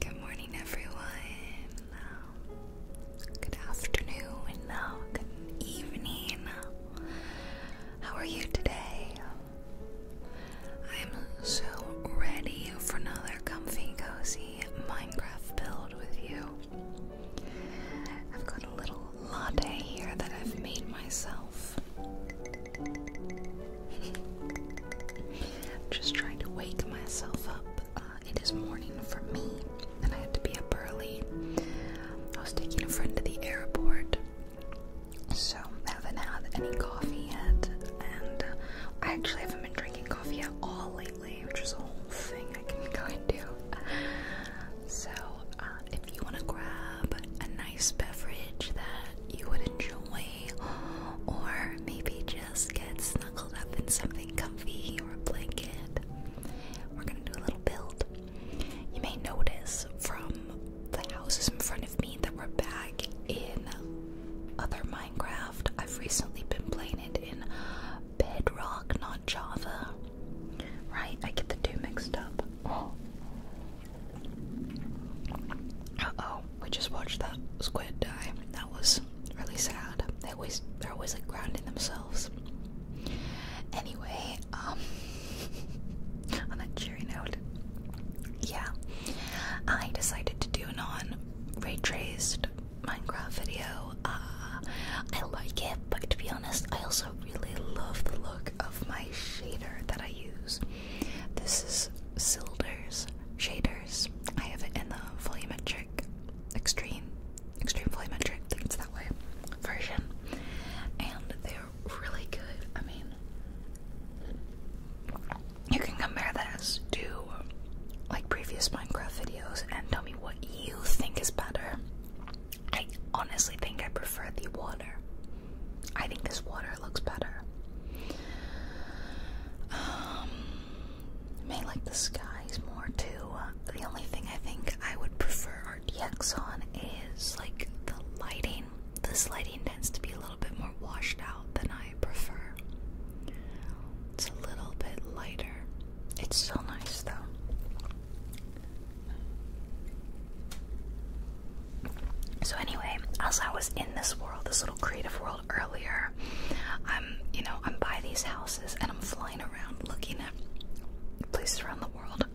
Good morning, everyone. good afternoon. Now, good evening. how are you today? I'm so ready for another comfy, cozy Minecraft build with you. I've got a little latte here that I've made myself. i just trying to wake myself up. Uh, it is morning for me, and I had to be up early. I was taking a friend to the airport, so I haven't had any coffee yet, and uh, I actually haven't been drinking coffee at all lately, which is a whole thing I can go into. So uh, if you want to grab a nice beverage that you would enjoy, or maybe just get snuggled up in something comfy or a blanket, we're going to do a little build. You may notice from the houses in front of me that we're back in other Minecraft. I've recently been playing it in Bedrock, not Java. Right? I get the two mixed up. Uh oh, we just watched that squid die. That was really sad. They always they're always like grounding themselves. Anyway, um on a cheery note. Yeah. I decided to do a non ray traced Minecraft video. Uh, I like it, but to be honest, I also I really love the look of my shader that I use. This is Silder's Shaders. I have it in the volumetric extreme, extreme volumetric, I that way, version. And they're really good. I mean, you can compare this to like previous Minecraft videos and tell me what you think is better. I honestly think I prefer the water. I think this water looks better. I um, may like the skies more too. The only thing I think I would prefer RDX on is like the lighting. This lighting tends to be a little bit more washed out than I prefer. It's a little bit lighter. It's so nice though. So anyway, as I was in this world, this little creative world earlier, I'm, you know, I'm by these houses and I'm flying around looking at places around the world.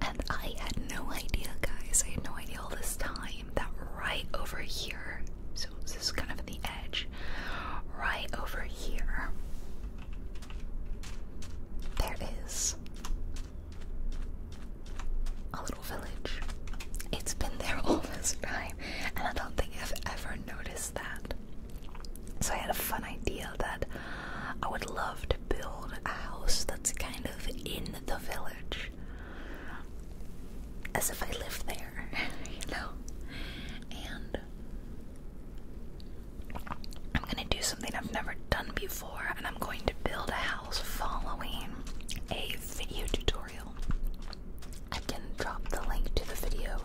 And I had no idea, guys. I had no idea all this time that right over here, so this is kind of the edge, right over here, there is a little village. It's been there all this time, and I don't think I've ever noticed that. So I had a fun idea that I would love to build a house that's kind of in the village. As if I live there, you know? And I'm going to do something I've never done before, and I'm going to build a house following a video tutorial. I can drop the link to the video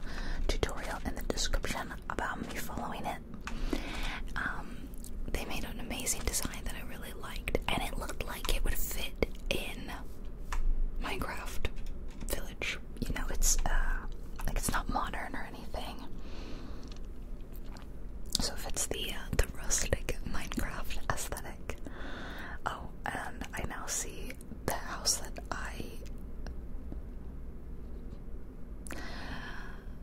tutorial in the description about me following it. Um, they made an amazing design that I really liked, and it looked like it would fit in Minecraft Village. You know, it's uh, like it's not modern or anything. So fits the uh, the rustic Minecraft aesthetic. Oh, and I now see the house that I.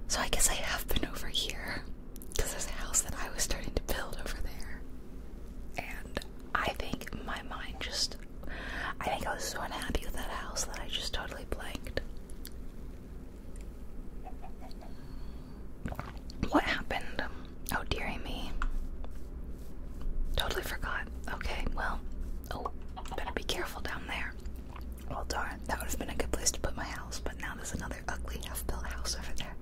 So I guess I have been over here because there's a house that I was starting to build over there, and I think my mind just. I think I was so unhappy with that house that I just totally blanked. What happened? Oh, dearie me. Totally forgot. Okay, well, oh, better be careful down there. Well, darn, that would have been a good place to put my house, but now there's another ugly half built house over there.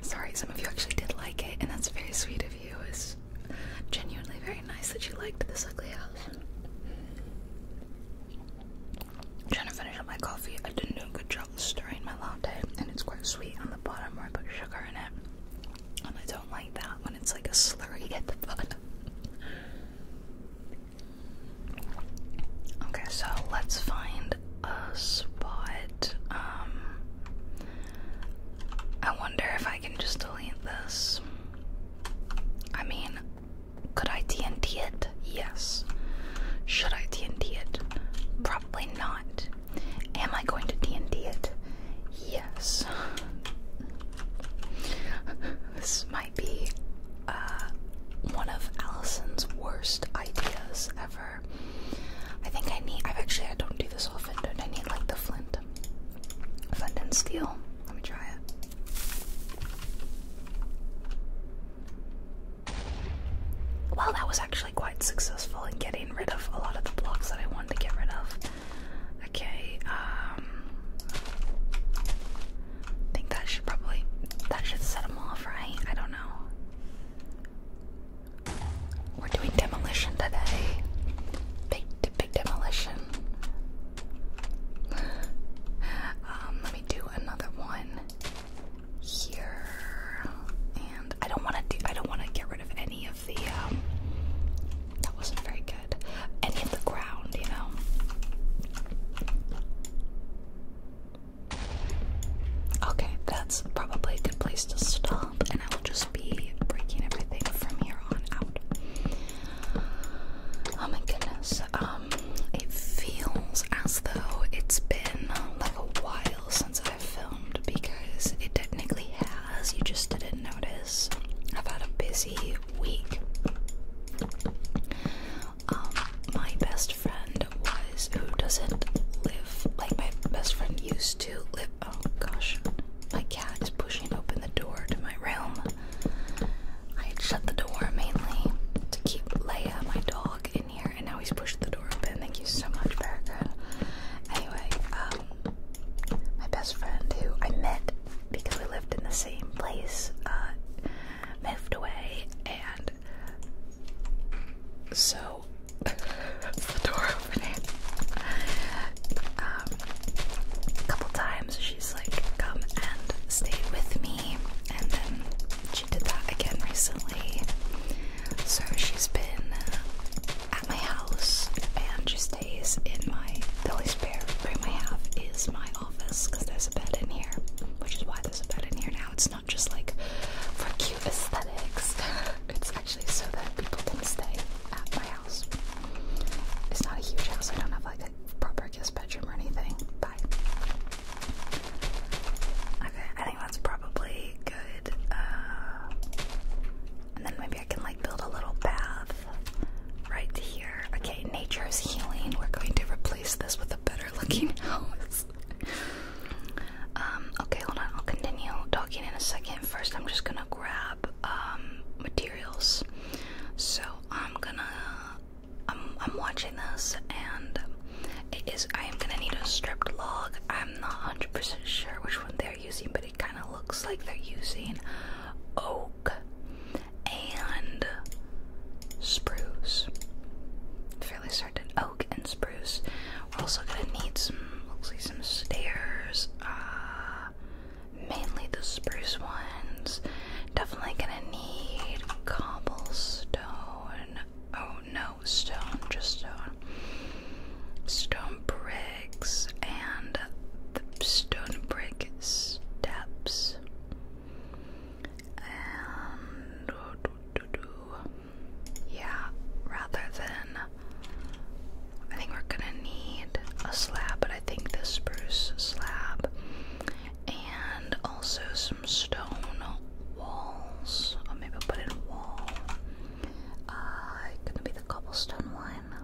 Sorry, some of you actually did like it, and that's very sweet of you. It's genuinely very nice that you liked this ugly house i trying to finish up my coffee. I didn't do a good job stirring my latte, and it's quite sweet on the bottom where I put sugar in it. And I don't like that when it's like a slurry at the bottom. Okay, so let's find a spot. Um, I wonder if I can just delete this. I mean, could I TNT it? Yes. Should I it? Probably not. Am I going to TNT it? Yes. this might be uh, one of Allison's worst ideas ever. I think I need. I've actually. I don't do this often. do I need like the flint, flint and steel? Let me try it. Well, that was actually quite successful in getting rid of a lot of the blocks that I wanted to get rid of. Okay, um, I think that should probably that should set them off, right? I don't know. We're doing demolition today. Big, big demolition. um, let me do another one here, and I don't want to do. I don't want to get rid of any of the. Um, that wasn't very good. Any of the ground, you know. Okay, that's probably a good place to stop, and I will just be breaking everything from here on out. Oh my goodness. Um, um, it feels as though it's been um, like a while since I've filmed because it technically has, you just didn't notice. I've had a busy week. Um, my best friend was who doesn't live like my best friend used to live. Oh gosh, my cat is pushing open the door to my realm. I had shut the door mainly to keep Leia, my dog, in here, and now he's pushed the door open. Thank you so much, Paragon. Anyway, um, my best friend who I met because we lived in the same place uh, moved away, and so the door opened um, a couple times she's like, come and stay with me, and then she did that again recently. So she's been at my house and she stays in my. The only spare room I have is my office because there's a bed in here, which is why there's a bed in here now. It's not just like for cute aesthetics, it's actually so that people can stay at my house. It's not a huge house, I don't have like proper guest bedroom or anything. Bye. Okay, I think that's probably good. Uh, and then maybe I can like build a little bath right here. Okay, nature is healing. We're going to replace this with a better looking house. um, okay, hold on. I'll continue talking in a second. First, I'm just gonna grab um, materials. So I'm gonna I'm I'm watching this and it is I am gonna need a stripped log. I'm not 100% sure which one they're using, but it kind of looks like they're using oak and spruce. Fairly certain oak and spruce. We're also gonna need some looks some stairs. Uh, mainly the spruce ones. Definitely gonna need cobblestone. Oh no, stone, just stone. Stone bricks and the stone brick steps. And yeah, rather than I think we're gonna need a slab, but I think the spruce slab and also some stone walls. Or maybe I'll put in a wall. Uh, gonna be the cobblestone one.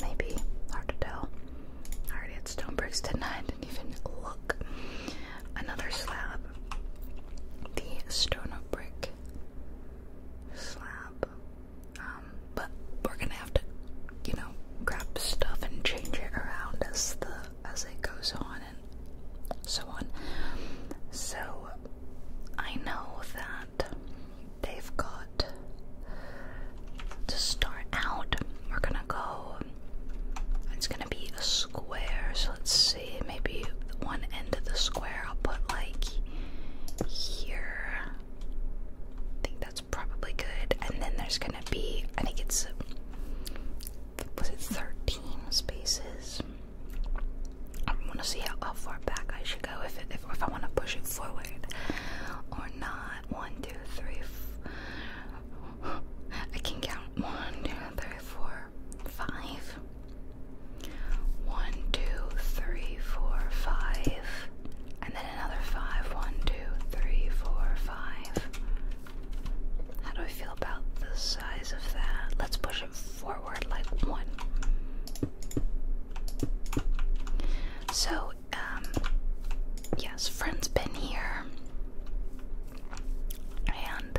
Maybe. Hard to tell. already had stone bricks, did didn't even look. Another slab. The stone brick slab. Um, but we're gonna have to, you know, grab stuff and change it around as the as it goes on and so on. So I know that they've got to start out. We're gonna go. It's gonna be a square. So let's see. Maybe one end of the square. I'll put like here. I think that's probably good. And then there's gonna be. I think it's was it 13 spaces? I want to see how, far back I should go if, if, I want to push it forward or not. One, two, three. F I can count one, two, three, four, five. One, two, three, four, five, and then another five. One, two, three, four, five. How do I feel about the size of that? Let's push him forward like one. So, um, yes, friend's been here. And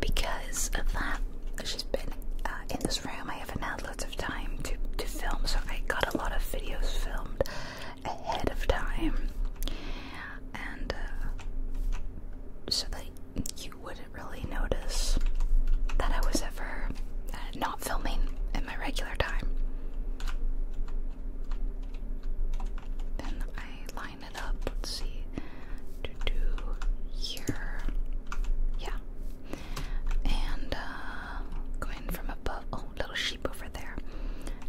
because of that, she's been uh, in this room. I haven't had lots of time to, to film, so I got a lot of videos filmed ahead of time, and uh, so that you wouldn't really notice that I was ever uh, not filming in my regular time. Then I line it up. Let's see. Do do here. Yeah. And uh, going from above. Oh, little sheep over there.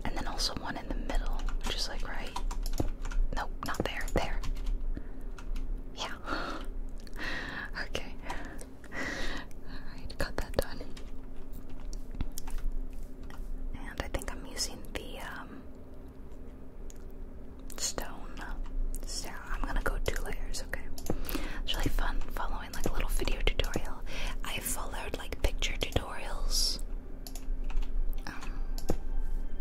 And then also one in the middle, which is like right. No, not there. There. Yeah. okay. Alright, got that done. And I think I'm using the um, stone. So I'm gonna go two layers, okay? It's really fun following like a little video tutorial. I followed like picture tutorials um,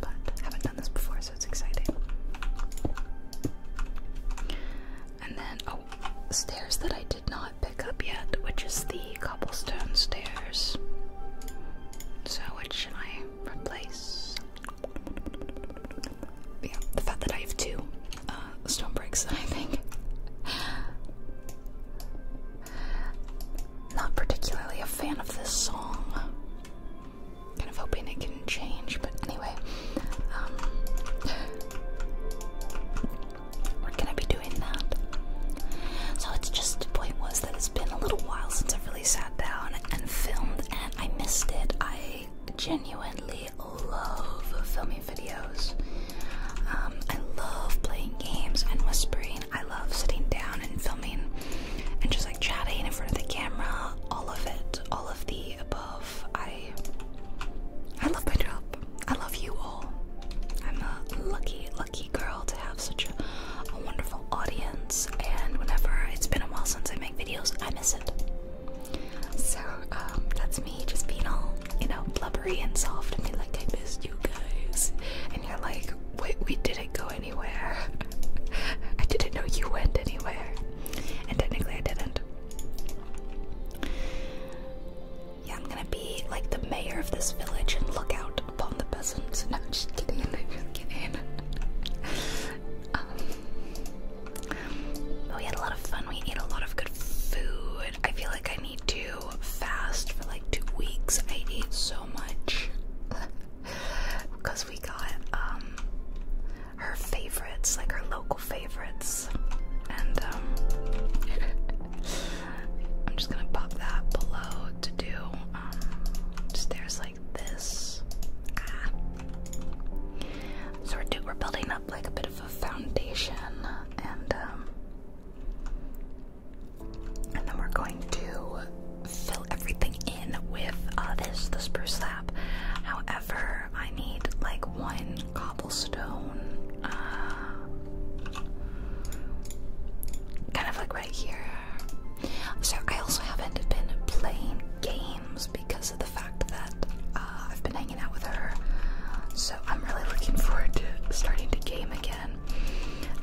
but haven't done this before, so it's exciting. And then, oh, stairs that I did not pick up yet, which is the cobblestone stairs. So, which should I replace? Yeah, the fact that I have two uh, stone bricks, I think not particularly a fan of this song. Kind of hoping it can change, but anyway. Um, we're gonna be doing that. So it's just the point was that it's been a little while since I've really sat down and filmed, and I missed it. I genuinely love filming videos. Um, I love playing games and whispering. I love sitting down and filming and just like chatting in front of the camera. All of it, all of the above. I I love my job. I love you all. I'm a lucky, lucky girl to have such a, wonderful audience. And whenever it's been a while since I make videos, I miss it. So um, that's me just being all, you know, blubbery and soft and being like, I missed you guys you're like, wait, we didn't go anywhere. I didn't know you went anywhere. And technically, I didn't. Yeah, I'm gonna be like the mayor of this village and look out upon the peasants. No, just kidding. just kidding. Um, but we had a lot of fun. We ate a lot of good food. I feel like I need to fast for like two weeks. I ate so much because we got um her favorites, like her local favorites, and um I'm just gonna pop that below to do um, stairs like this. Ah. So we're do we're building up like a bit of a foundation and um and then we're going to fill everything in with uh, this, the spruce slab. However, I need like one cobblestone, uh, kind of like right here. So I also haven't been playing games because of the fact that uh, I've been hanging out with her. So I'm really looking forward to starting to game again.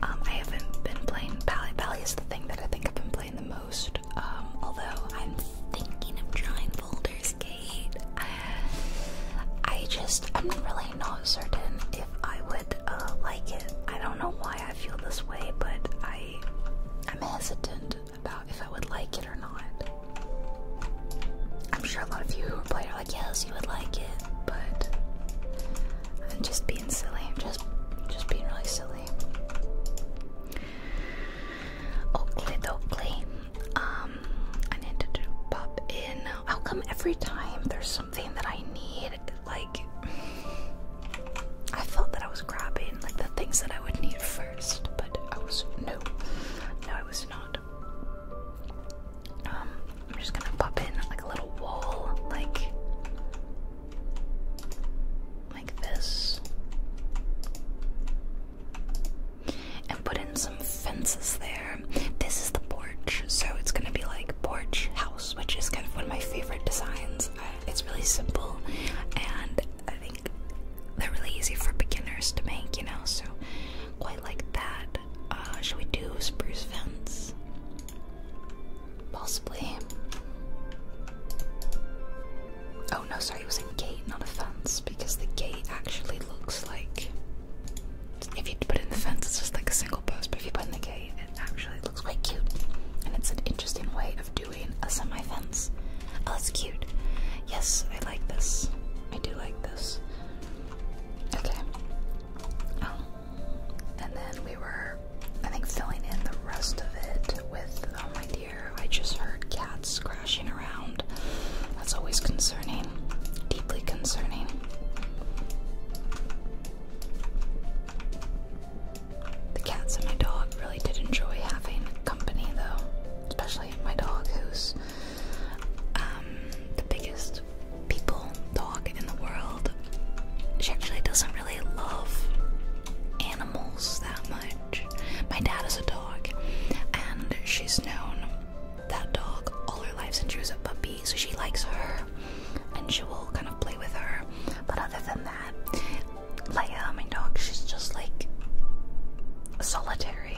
Um, I haven't been playing Pally. Pally is the thing that I think I've been playing the most. Um, although I'm thinking of trying Boulder's Gate. I just, I'm really not certain if I would uh, like it. I don't know why I feel this way, but I, I'm hesitant about if I would like it or not. I'm sure a lot of you who played I guess you would like it, but I'm just being silly. I'm just, just being really silly. Oakley, Oakley. Um, I need to pop in. How come every time there's something that I need, like, I felt that I was grabbing like the things that I would need first, but I was no, no, I was not. Um, I'm just gonna pop in like a little wall, like like this, and put in some fences there. This is the porch, so it's gonna be like porch house, which is kind of one of my favorite designs. it's really simple, and I think they're really easy for beginners to make, you know. So quite like that. Uh, should we do spruce fence? Possibly. Oh no, sorry, it was a gate, not a fence, because the gate actually looks like. If you put in the fence, it's just like a single post, but if you put in the gate, it actually looks quite cute. And it's an interesting way of doing a semi fence. Oh, that's cute. Yes, I like this. I do like this. Okay. Um, and then we were, I think, filling in the rest of it with, oh my dear, I just heard cats scratching around. That's always concerning, deeply concerning. The cats and my dog really did enjoy having company, though, especially my dog, who's um, the biggest people, dog in the world, she actually doesn't really love animals that much. My dad has a dog, and she's known that dog all her life since she was a puppy, so she likes her and she will kind of play with her. But other than that, Leia, my dog, she's just like solitary,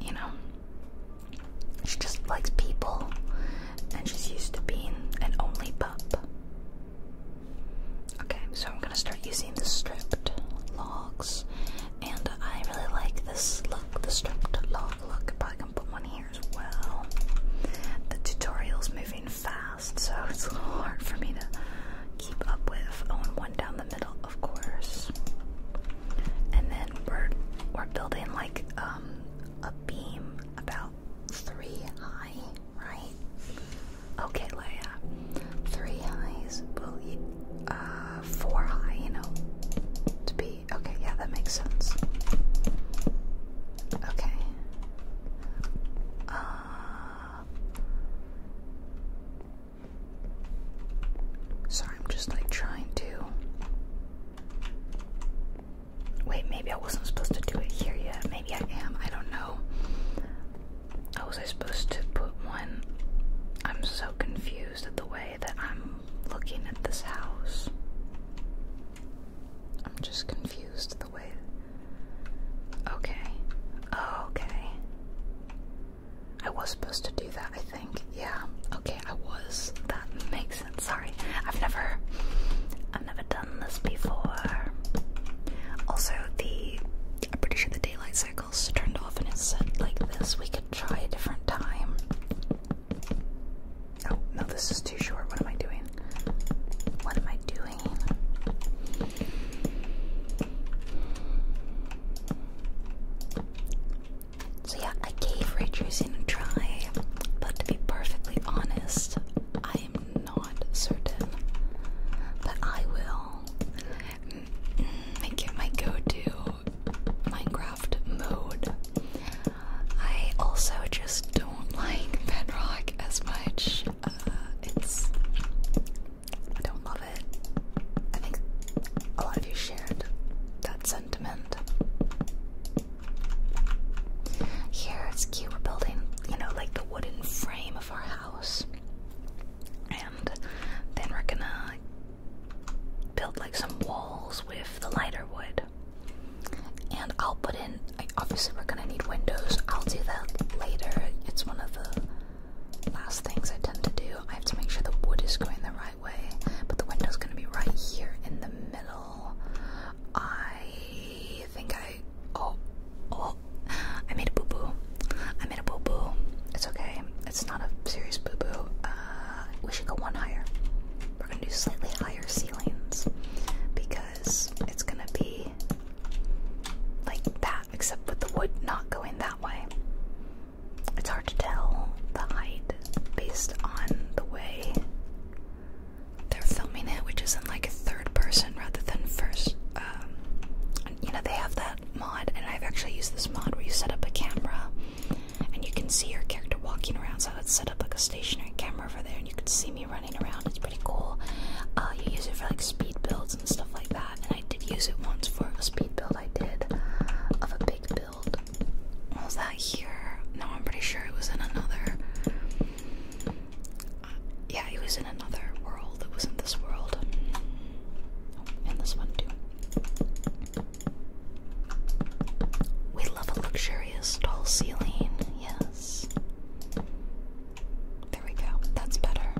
you know. She just likes people and she's used to being an only pup. Okay, so I'm gonna start using the stripped logs, and I really like this look, the stripped log look. Probably gonna put one here as well. The tutorial's moving fast, so it's a little hard for me to keep up with. Oh, and one down the middle, of course. And then we're we're building like um, a beam about three high, right? Okay, Leia. Three highs, will uh, four high, you know, to be, okay, yeah, that makes sense. Okay. Uh, sorry, I'm just like trying to Wait, maybe I wasn't supposed to do it here yet. Maybe I am. I don't know. How oh, was I supposed to put one? I'm so confused at the way that I'm looking at this house. I'm just confused the way. Okay. Oh, okay. I was supposed to do that, yeah. Okay, I was. That makes sense. Sorry. I've never I've never done this before. Also the I'm pretty sure the daylight cycles turned off and it's like this. We could try a different time. Oh no, this is too short. What am I doing? What am I doing? So yeah, I gave retracing a try, but to be perfectly honest, I am not certain. But I will mm-hmm. make it my go-to Minecraft mode. I also just don't like bedrock as much. Uh, it's I don't love it. I think a lot of you shared that sentiment. Here it's cute, we're building, you know, like the wooden frame of our house. And then we're gonna build like some walls with the lighter wood. And I'll put in, obviously, we're gonna need windows. I'll do that later. It's one of the last things I tend to do. I have to make sure the wood is going the right highway, but the window's gonna be right here in the middle. I think I oh oh I made a boo boo. I made a boo boo. It's okay. It's not a serious boo boo. Uh, we should go one higher. We're gonna do slightly higher ceilings because it's gonna be like that, except with the wood not going that way it's hard to tell the height based on the way they're filming it, which is in like third person rather than first. Um, you know, they have that mod, and I've actually used this mod where you set up a camera and you can see your character walking around. So I would set up like a stationary camera over there, and you could see me running around. It's pretty cool. Uh, you use it for like speed builds and stuff like that. And I did use it once for a speed build I did of a big build build. Was that here? No, I'm pretty sure it was in another. Uh, yeah, it was in another world. It was in this world. Oh, and this one too. We love a luxurious tall ceiling. Yes. There we go. That's better.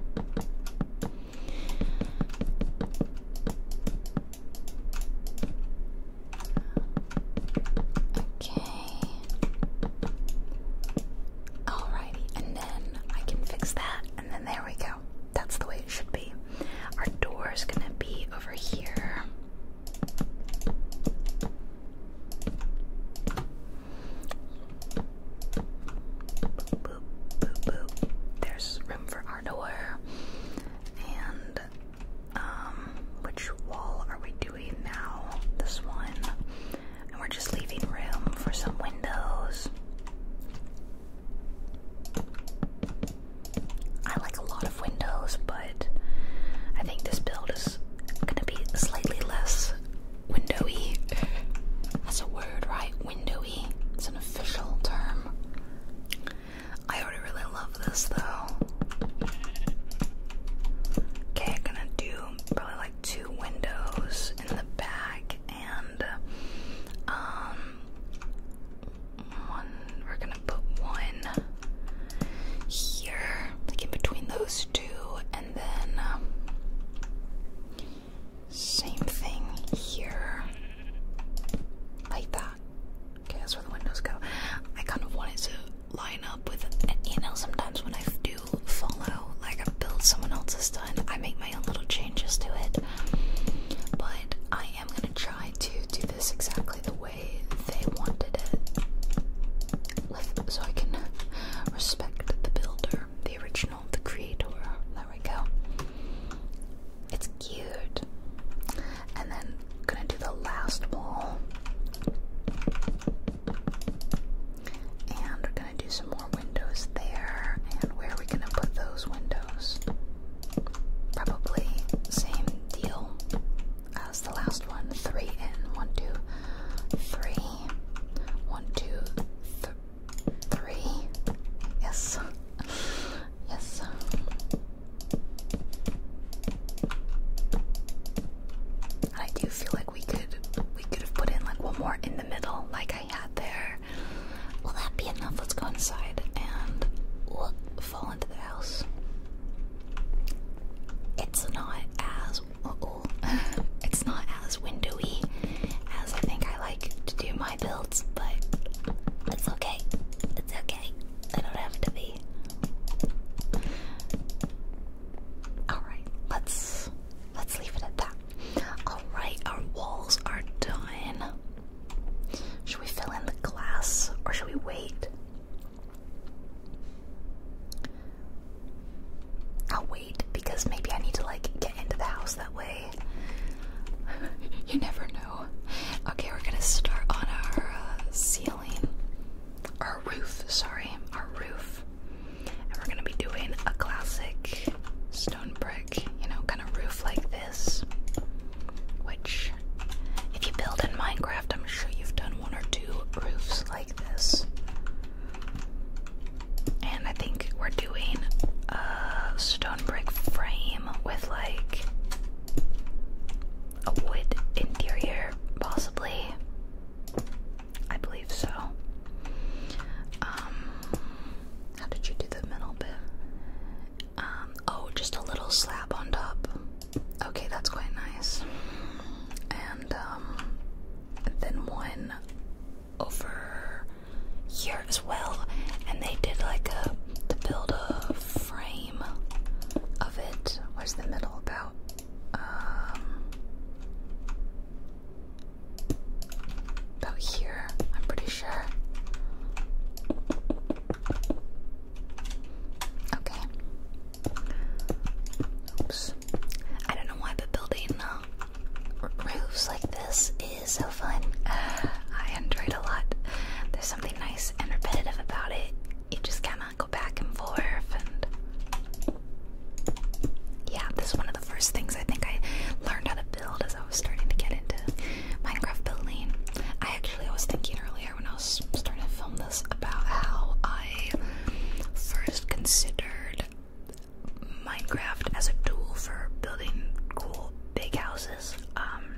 Okay. Alrighty, and then I can fix that, and then there we go. That's the way it should be. Our door is gonna be over here. There's room for our door, and um, which wall are we doing now? This one. And we're just leaving room for some windows. I like a lot of windows, but I think this build is gonna be slightly less windowy. That's a word, right? Windowy. It's an official term. I already really love this though. Okay, I'm gonna do probably like two windows in the back and um one we're gonna put one here, like in between those two, and then um, same thing here, like that. Okay, that's where the windows go. I kind of wanted to line up with you know. sometimes when I do follow, like I build someone else's done, I make my own little changes to it. But I am gonna try to do this exactly the way they wanted it. So I can respect the builder, the original, the creator. There we go. It's cute. And then gonna do the last wall. And we're gonna do some more windows there. And where are we gonna put those windows? Probably same deal as the last one. Three and one, two, three, one, two, three. Yes. yes. I do feel like we could we could have put in like one more in the middle, like I had there. Will that be enough? Let's go inside and fall into the house. It's not as it's not as windowy as I think I like to do my builds, but it's okay. It's okay. I don't have to be. Alright, let's let's leave it at that. Alright, our walls are done. Should we fill in the glass or should we wait? I'll wait because maybe I need to like get into the house that way. you never know. Okay, we're gonna start on our uh, ceiling, our roof, sorry, our roof. And we're gonna be doing a classic stone brick, you know, kind of roof like this. Which, if you build in Minecraft, I'm sure you've done one or two roofs like this. And I think we're doing a stone brick frame with like a wood interior, possibly. I believe so. Um, how did you do the middle bit? Um, oh, just a little slab on top. Okay, that's quite nice. And um, then one over here as well. And they did like a to build a frame of it. Where's the middle about? Um, about here, I'm pretty sure. Okay. Oops. I don't know why the building uh, roofs like this is so fun. I enjoy a lot. There's something nice and repetitive about it. You just cannot go back and forth. And yeah, this is one of the first things I think I learned how to build as I was starting to get into Minecraft building. I actually I was thinking earlier when I was starting to film this about how I first considered Minecraft as a tool for building cool big houses um,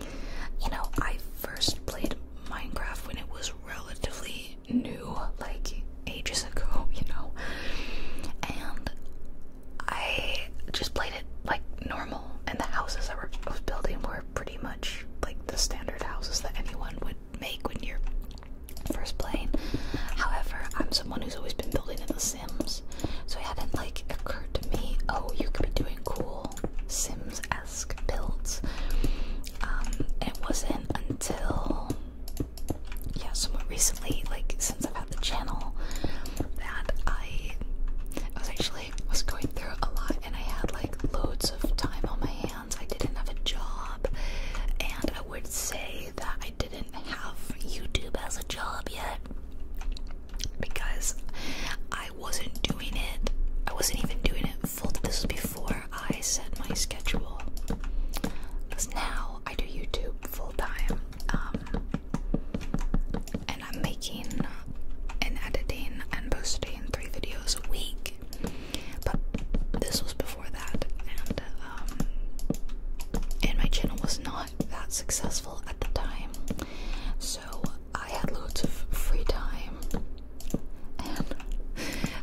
you know, I first played Minecraft when it was relatively new, like ages ago, you know, and I just played it like normal, and the houses I was building were pretty much like the standard houses that anyone would make when you're first playing. However, I'm someone who's always been building in The Sims, so it hadn't like occurred to me, oh, you could be doing cool Sims Sims-esque builds. Um, it wasn't until yeah, somewhat recently, like since I've had the channel, that I was actually was going through a lot, and I had like loads of time on my hands. I didn't have a job, and I would say that I didn't have YouTube as a job yet because I I wasn't doing it. I wasn't even doing it full. This was before I set my schedule. Because now I do YouTube full time. Um, and I'm making and editing and posting three videos a week. But this was before that. And, um, and my channel was not that successful at the time. So I had loads of free time, and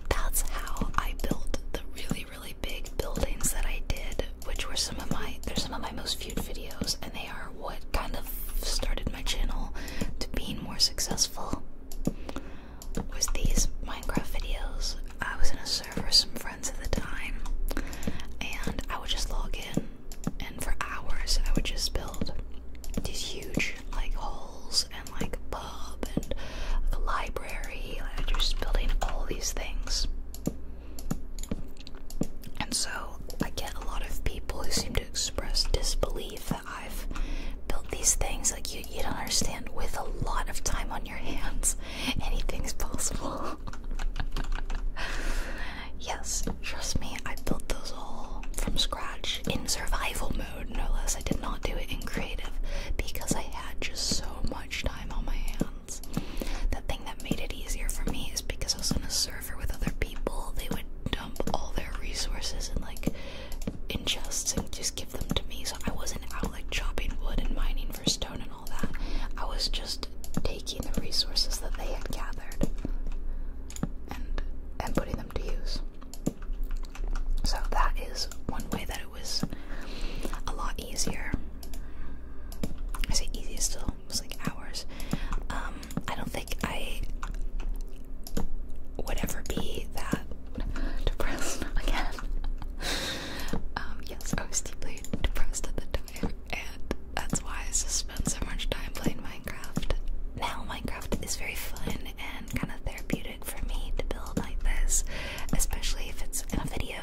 that's how I built the really, really big buildings that I did, which were some of my they're some of my most viewed videos, and they are what kind of started my channel to being more successful. Was these Minecraft videos? I was in a server with some friends at the time, and I would just log in, and for hours I would just build these huge like halls and like a pub and like library. are just building all these things. And so I get a lot of people who seem to express disbelief that I've built these things. Like you, you don't understand. With a lot of time on your hands, anything's possible. Yes, trust me, I built those all from scratch in survival mode, no less. I did not do it in creative because I had just so much time on my hands. The thing that made it easier for me is because I was on a server with other people, they would dump all their resources and like in and just give them to me. So I wasn't out like chopping wood and mining for stone and all that. I was just taking the resources that they had gathered and putting them to use. So that is one way that it was a lot easier. I say easiest still, was like hours. Um, I don't think I would ever be that depressed again. um, yes, I was deeply depressed at the time, and that's why I sus spend so much time playing Minecraft. Now, Minecraft is very fun and kind of therapeutic for me to build like this, especially if it's in a video.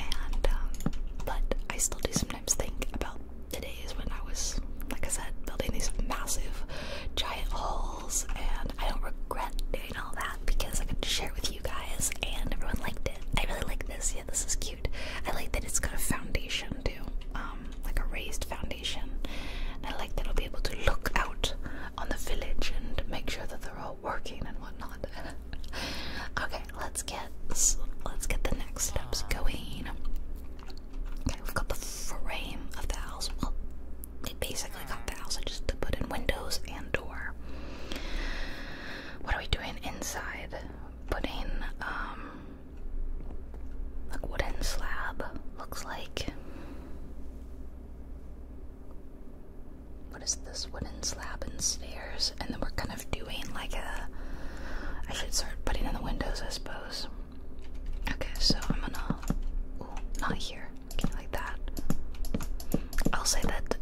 And, um, but I still do sometimes think about the days when I was, like I said, building these massive, giant halls, and I don't regret doing all that because I could share it with you guys, and everyone liked it. I really like this. Yeah, this is cute. I like that it's got a foundation too, um, like a raised foundation. And I like that i will be able to look out on the village and make sure that they're all working and whatnot. okay, let's get let's get the next steps going. Okay, we've got the frame of the house. Well, it basically got the house. I just to put in windows and door. What are we doing inside? Putting um like wooden slab looks like. What is this wooden slab and stairs? And then we're kind of doing like a. I should start putting in the windows, I suppose. Okay, so I'm gonna. not here. Okay, like that. I'll say that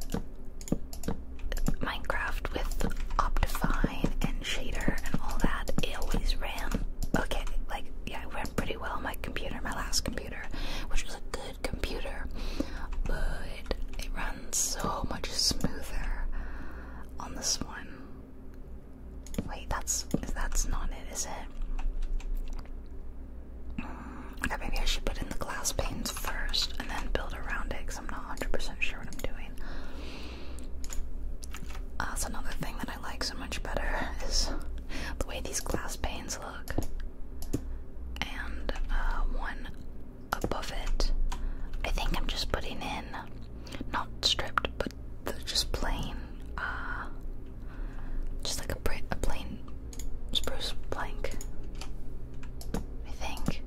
Minecraft with Optifine and shader and all that. It always ran okay, like yeah, it ran pretty well on my computer, my last computer, which was a good computer, but it runs so much smoother on this one. Wait, that's that's not it, is it? Mm, okay, maybe I should put in the glass panes first and then build around it because I'm not 100% sure what I'm doing. That's another thing that I like so much better is the way these glass panes look. And uh, one above it, I think I'm just putting in, not stripped, but just plain, uh, just like a, a plain spruce blank. I think.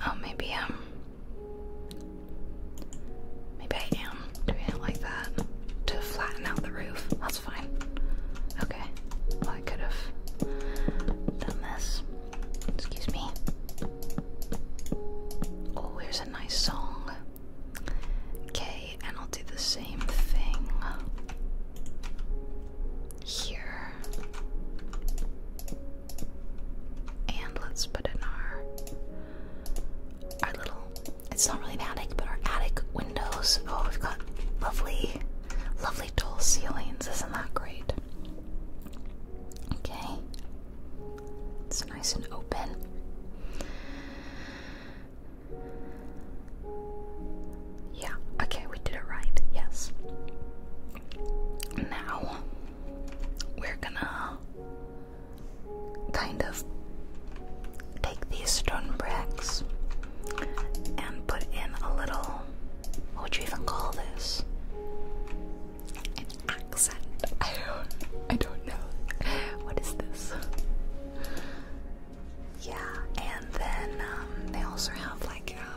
Oh, maybe um, maybe I am doing it like that to flatten out the roof. That's fine. Okay. Well, I could have done this. Excuse me. Oh, here's a nice song. Okay, and I'll do the same thing here. And let's put in our our little it's not really an attic, but our attic windows. Oh, we've got lovely, lovely tall ceilings. Isn't that great? Okay. It's nice and open. Yeah, okay, we did it right, yes. Now, we're gonna kind of take these stone bricks and put in a little. What would you even call this? An accent. I don't, I don't know. What is this? Yeah, and then um, they also have like uh,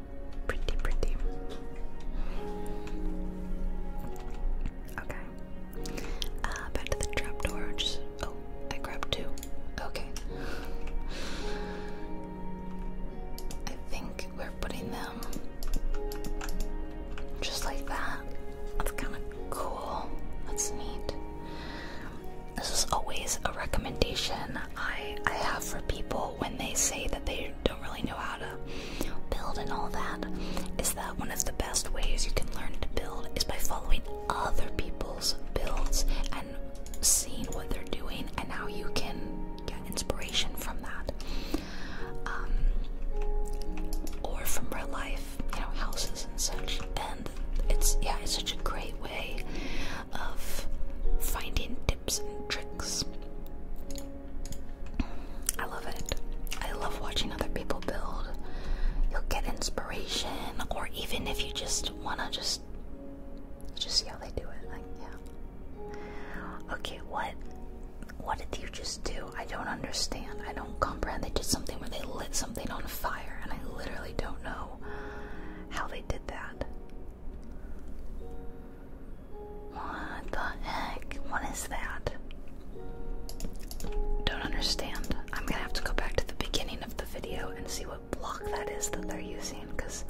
Pretty, pretty. Okay. Uh, back to the trapdoor. Just oh, I grabbed two. Okay. I think we're putting them just like that. That's kind of cool. That's neat. This is always a recommendation I I have for people when they say that they don't really know how to build and all that, is that one of the best ways you can learn to build is by following other people's builds and seeing what they're doing and how you can get inspiration from that. Um, or from real life, you know, houses and such. And it's, yeah, it's such a great way of finding tips and tricks. I love it. I love watching other people build. You'll get inspiration, or even if you just wanna just just see how they do it. Like, yeah. Okay, what? What did you just do? I don't understand. I don't comprehend. They did something where they lit something on fire, and I literally don't know how they did that. What the heck? What is that? Don't understand. I'm gonna have to go back to the beginning of the video and see what block that is that they're using because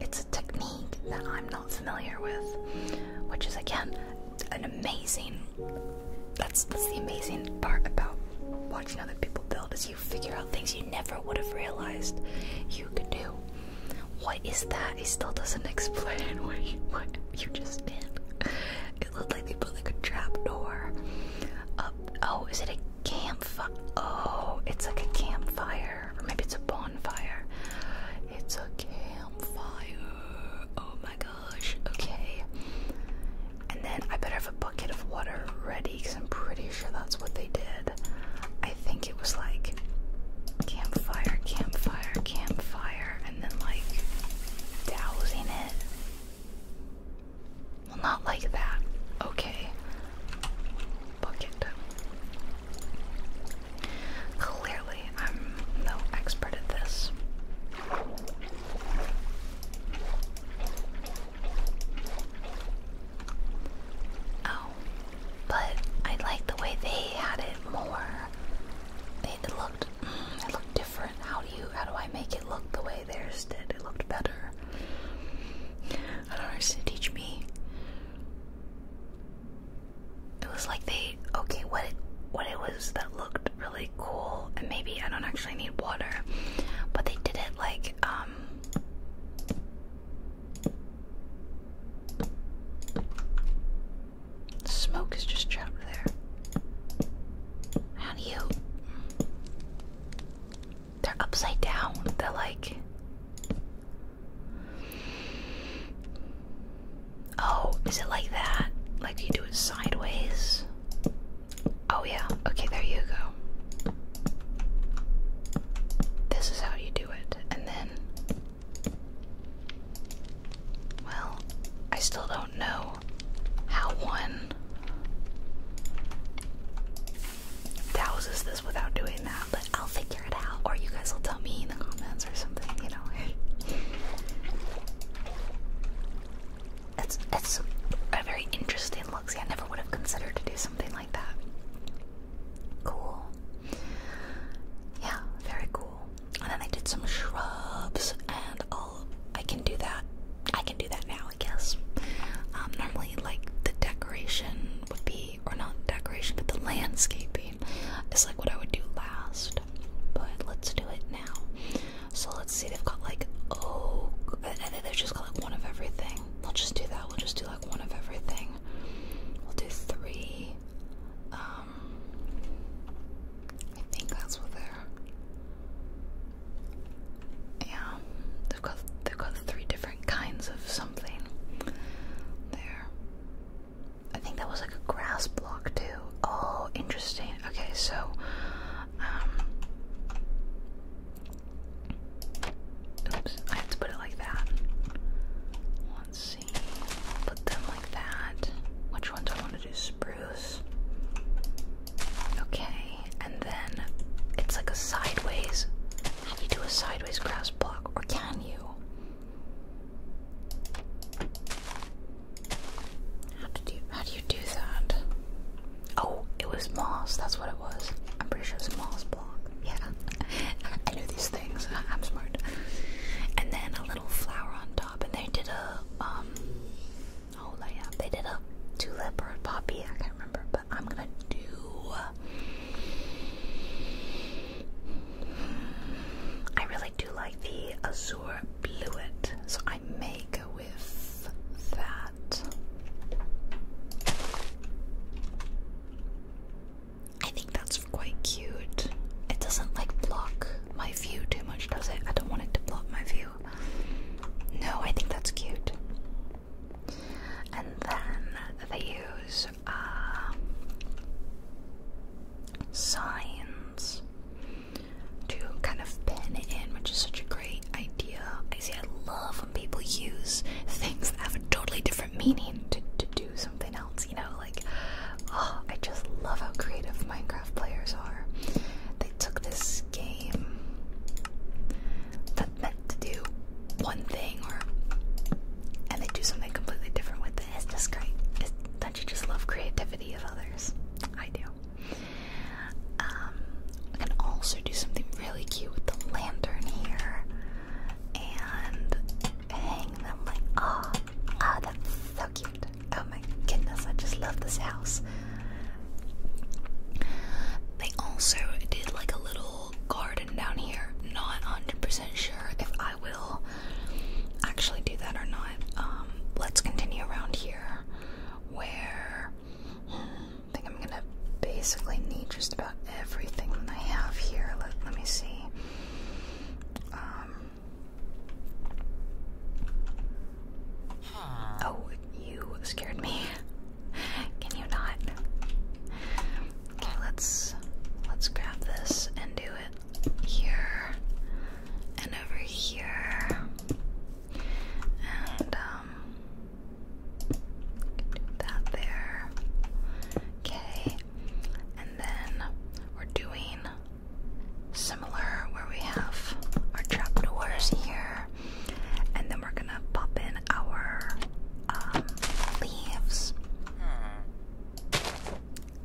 it's a technique that I'm not familiar with. Which is again an amazing that's that's the amazing part about watching other people build is you figure out things you never would have realized you could do. What is that? It still doesn't explain what you, just did. It looked like they put like a trap door Oh, is it a campfire? Oh, it's like a campfire. Or maybe it's a bonfire. It's a campfire. Oh my gosh. Okay. And then I better have a bucket of water ready because I'm pretty sure that's what they did. I think it was like campfire, campfire, campfire, and then like dousing it. Well, not like that. Okay. Bucket. Clearly, I'm no expert at this. Oh, but I like the way they had it more. They looked, mm, it looked different. How do you, how do I make it look the way theirs did? It looked better. I don't know. to teach me. It was like they okay. What what it was that looked really cool, and maybe I don't actually need water, but they did it like um smoke is just trapped there. How do you. They're upside down. They're like. Oh, is it like that? Like you do it sideways? Oh, yeah. Okay, there you go. This is how you do it. And then well, I still don't know how one douses this without doing that, but I'll figure it out, or you guys will tell me in the comments or something, you know. It's it's a very interesting look. See, I never would have considered to do something like that. Cool yeah, very cool. And then I did some shrubs, and i can do that. I can do that now, I guess. Um, normally, like the decoration would be, or not decoration, but the landscaping is like what I would do last. But let's do it now. So let's see. They've got like oh, and they've just got like one of everything. We'll just do that. We'll just do like one of everything. We'll do three. Um, um, I think that's what they Yeah, they've got they've got three different kinds of something there. I think that was like a grass block too. Oh, interesting. Okay, so um oops, I have to put it like that. Let's see. Put them like that. Which ones I want to do? Spruce. Okay, and then it's like a sideways. you do a sideways grass block? Or can you? How did you how do you do that? Oh, it was moss, that's what it was. I'm pretty sure it's moss block. Yeah. I do these things. I'm smart. And then a little flower on top, and they did a um oh yeah, they did a tulip or a poppy. I can't remember, but I'm gonna do. I really do like the azure bluet, so I may go with that. I think that's quite cute. It doesn't like block my view too much, does it? I don't want it to block my view. No, I think that's cute. And then they use um, signs to kind of pin it in, which is such a great idea. I see, I love when people use things that have a totally different meaning to, to do something else you know, like oh, I just love how creative Minecraft players are. They took this game that meant to do one thing or and they do something completely different with it. It's just great. It's, don't you just love creativity of others? I do. Um, can also do something really cute with the lantern here and hang them like, oh, Ah, oh, that's so cute. Oh my goodness, I just love this house. They also did like a little garden down here. Not 100% sure if I will actually do that or not. Um, let's continue around here where hmm, I think I'm gonna basically need just about everything that I have here. Let, let me see. Um, oh, you scared me. Can you not? Okay, let's let's grab this and do it here and over here and um, That there. Okay, and then we're doing similar where we have our trapdoors here. And then we're gonna pop in our um, leaves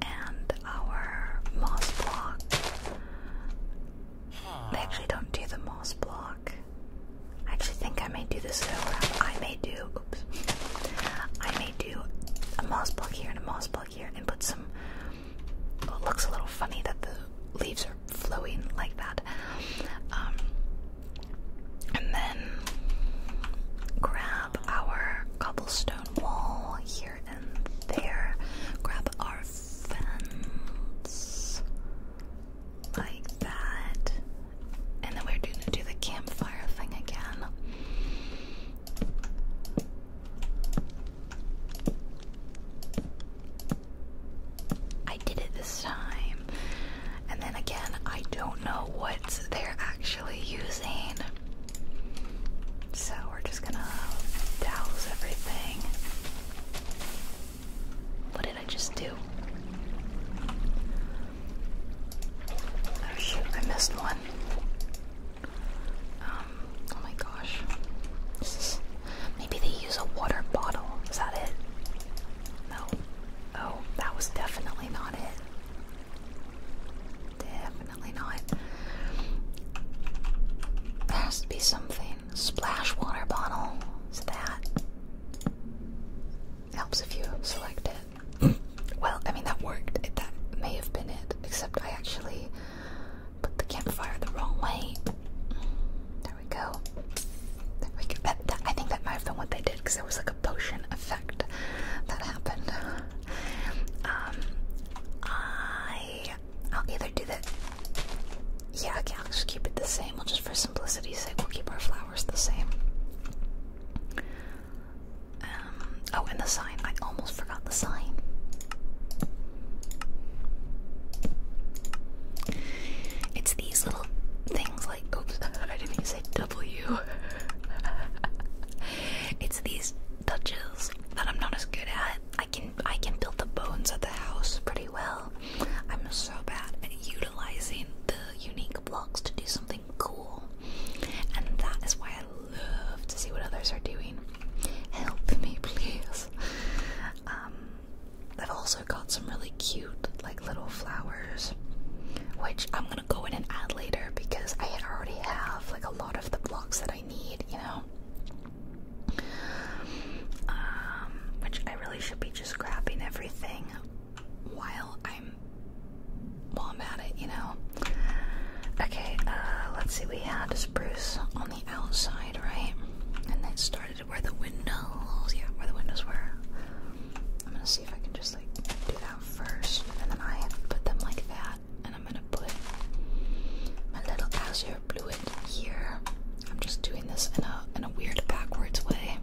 and our moss block. They actually don't do the moss block. I actually think I may do this though. I may do I may do a moss plug here and a moss plug here and put some. it looks a little funny that the leaves are flowing like that. Um, and then grab our cobblestone wall here and there. Grab our fence like that. And then we're going to do the campfire thing again. I did it this time. And then again, I don't know what they're actually using. So we're just gonna douse everything. What did I just do? Oh shoot, I missed one. Um, oh my gosh. maybe they use a water bottle. Is that it? No. Oh, that was definitely not it. Definitely not. There has to be something. Splash water bottle. Is that? Helps if you select it well, I mean, that worked. that may have been it, except I actually put the campfire the wrong way. There we go. There we go. I think that might have been what they did because there was like a potion effect that happened. Um, I, I'll either do that. Yeah, okay, I'll just keep it the same. We'll just, for simplicity's sake, we'll keep our flowers the same. Um, oh, and the sign. I almost forgot the sign. It's these little things like, oops, I didn't even say W. it's these touches that I'm not as good at. I can I can build the bones of the house pretty well. I'm so bad at utilizing the unique blocks to do something cool. And that is why I love to see what others are doing. Help me, please. Um, I've also got some really cute, like little flowers, which I'm gonna go in and add later because I already have like a lot of the blocks that I need, you know. Um, which I really should be just grabbing everything while I'm while I'm at it, you know. Okay, uh, let's see. We had spruce on the outside, right? And that started where the windows, yeah, where the windows were. I'm gonna see if I can just like do that first, and then I put them like that, and I'm gonna put my little azure blue here. I'm just doing this in a in a weird backwards way.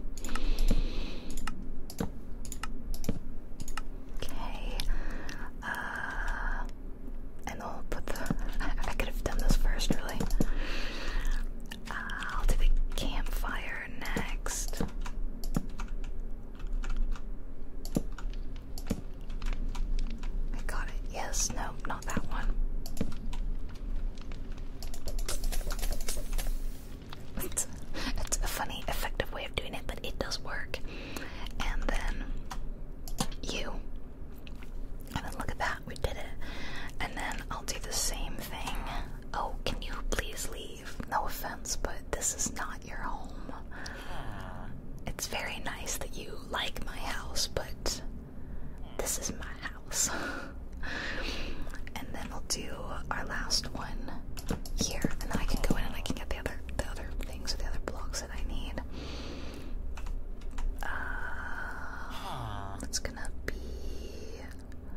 Okay. Uh, and I'll put the. I could have done this first, really. I'll do the campfire next. I got it. Yes, no, not that one it's, a funny, effective way of doing it, but it does work. And then you. And then look at that, we did it. And then I'll do the same thing. Oh, can you please leave? No offense, but this is not your home. It's very nice that you like my house, but this is my house. and then we'll do our last one here, and then I can go in and I can get the other things, the other blocks that I need. Uh, it's gonna be.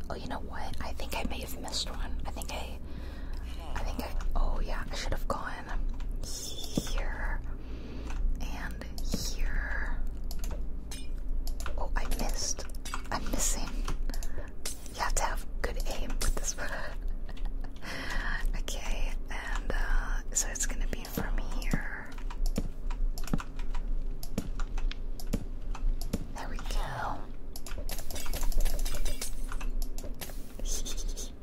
Oh, you know what? I think I may have missed one. I think I. I think I. Oh yeah, I should have gone here and here. Oh, I missed. I'm missing you have to have good aim with this one. okay, and uh, so it's gonna be from here. There we go.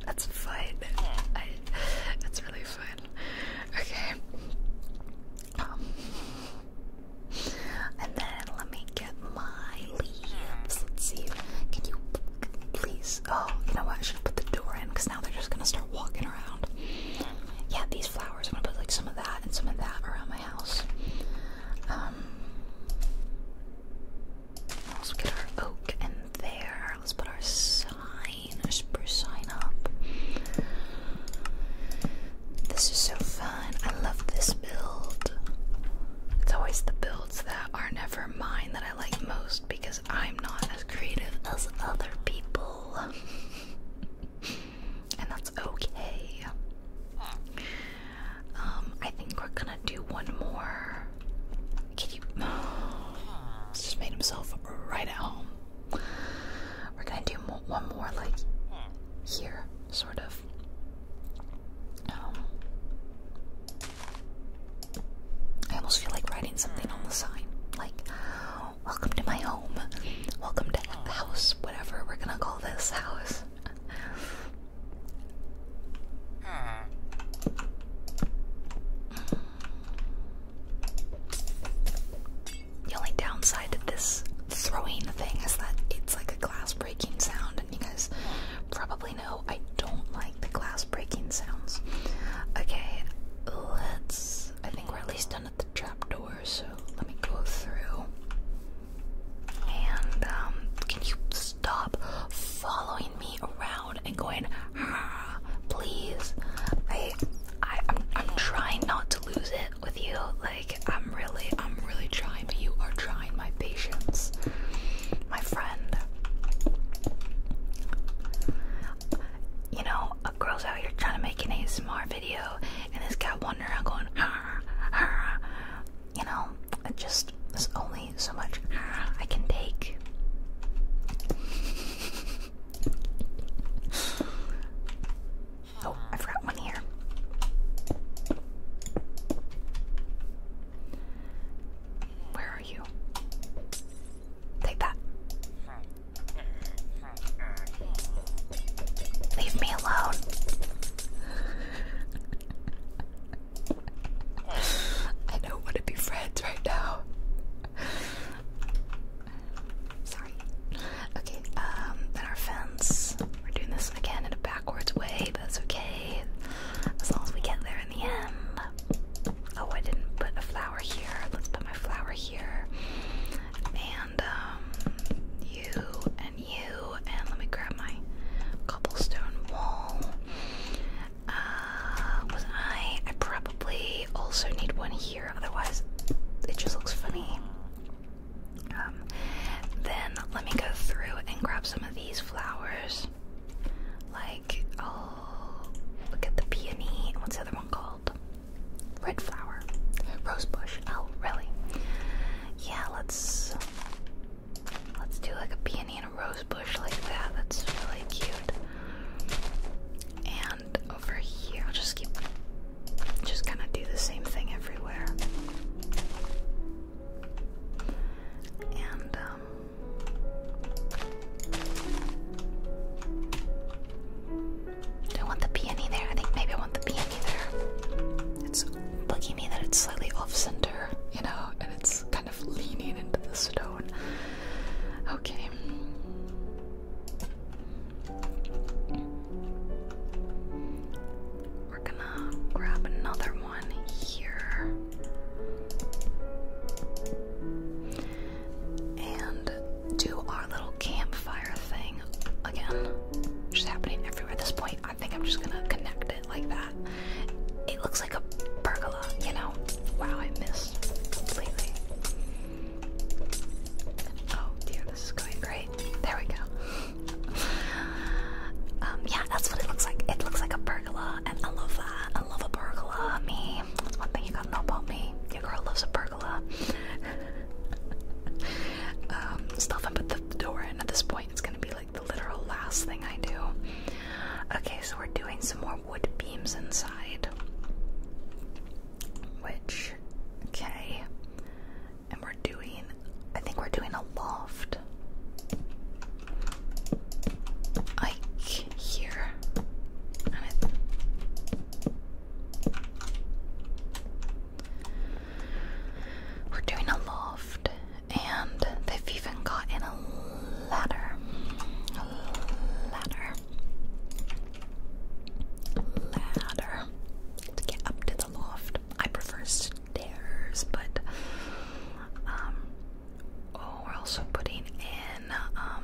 that's fun. I, that's really fun. Okay. Um, and then let me get my leaves. Let's see. Can you please? Oh, you know what? I should put the door in because now they're just gonna start walking around. Yeah, these flowers. I'm gonna put like some of that and some of that around my house. Um, let's get our oak in there. Let's put our sign, our spruce sign up. This is so fun. I love this build. It's always the build that are never mine that I like most because I'm not as creative as other people. and that's okay. Um, I think we're gonna do one more. Can you? He's just made himself right at home. We're gonna do one more, like here sort of. Um, I almost feel like writing something on the sign, like "Welcome to my home," "Welcome to the house," whatever we're gonna call this house. The only downside to this throwing thing is that it's like a glass breaking sound, and you guys probably actually no, I don't like the glass breaking sounds. Okay, let's. I think we're at least done at the trap door, so let me go through. And, um, can you stop following me around and going, ah, please? I, I, I'm, trying not to lose it with you. Like, I'm really, I'm I'm really trying, but you are trying my patience, my friend. You know, a girl's out here trying to make an ASMR video, and this guy wandering around going, har, har. you know, it just there's only so much har, I can take. Oh, I forgot one here. Where are you? Take that. Leave me alone. I don't want to be friends right now. Sorry. Okay, um, then our fence. We're doing this again in a back backwards way, but it's okay. As long as we get there in the end. Oh, I didn't put a flower here. Let's put my flower here. And um, you and you and let me grab my cobblestone wall. Uh, was I I probably also need one here, otherwise it just looks funny. Um, then let me go through and grab some these flowers. Like, oh, look at the peony. What's the other one called? Red flower. Rosebush. Oh, really? Yeah, let's let's do like a peony and a rosebush like that. That's really cute. And over here, I'll just keep just kind of do the same thing everywhere. And um, do I want the peony there? I think maybe I want the peony there. It's bugging me that it's slightly off center, you know, and it's kind of leaning into the stone. Okay. We're gonna grab another one here. And do our little campfire thing again. Which happening everywhere at this point. I think I'm just gonna connect it like that. It looks like a pergola, you know? Wow, I missed completely. Oh dear, this is going great. There we go. Um, yeah, that's what it looks like. It looks like a pergola, and I love that. I love a pergola. Me, that's one thing you gotta know about me. Your girl loves a pergola. um, still have put the door in at this point. It's gonna be like the literal last thing I do. Okay, so we're doing some more wood beams inside. Which, okay, and we're doing I think we're doing a loft. Ike here. We're doing a loft, and they've even gotten a ladder. ladder. Ladder. To get up to the loft. I prefer st dares, but um, oh, we're also putting in um,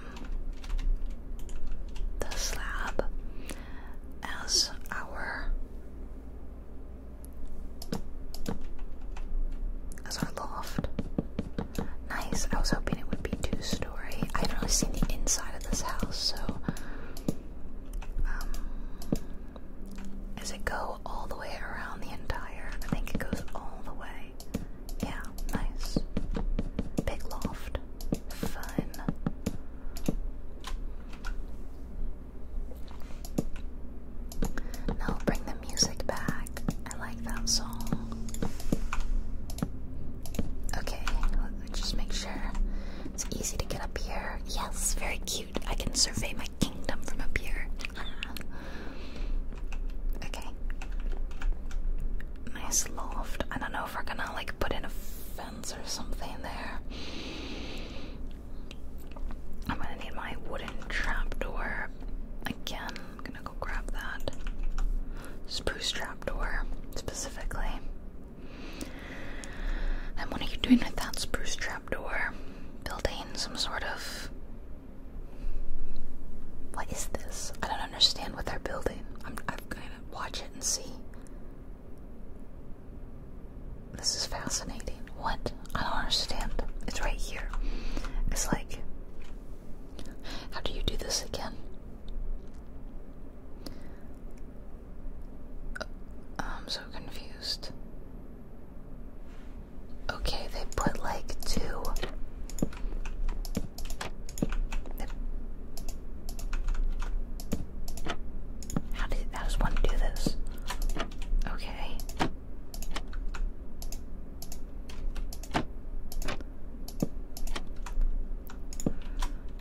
the slab as our as our loft. Nice. I was hoping it would be two story. I haven't really seen the inside of this house, so um, does it go all the way around the entire? I think it goes all the way. Yeah, nice. Big loft. Fun. Now bring the music back. I like that song. Okay, let's just make sure it's easy to get up here. Yes, very cute. I can survey my kingdom from up here. okay. Nice loft. I don't know if we're gonna like put in a fence or something there. I'm gonna need my wooden trapdoor. Again, I'm gonna go grab that. Spruce trapdoor, specifically. And what are you doing with that spruce trapdoor? building some sort of. What is this? I don't understand what they're building. I'm, I'm gonna watch it and see. This is fascinating. What? I don't understand. It's right here. It's like. How do you do this again? Uh, I'm so confused. Okay, they put like two. How does one do this? Okay.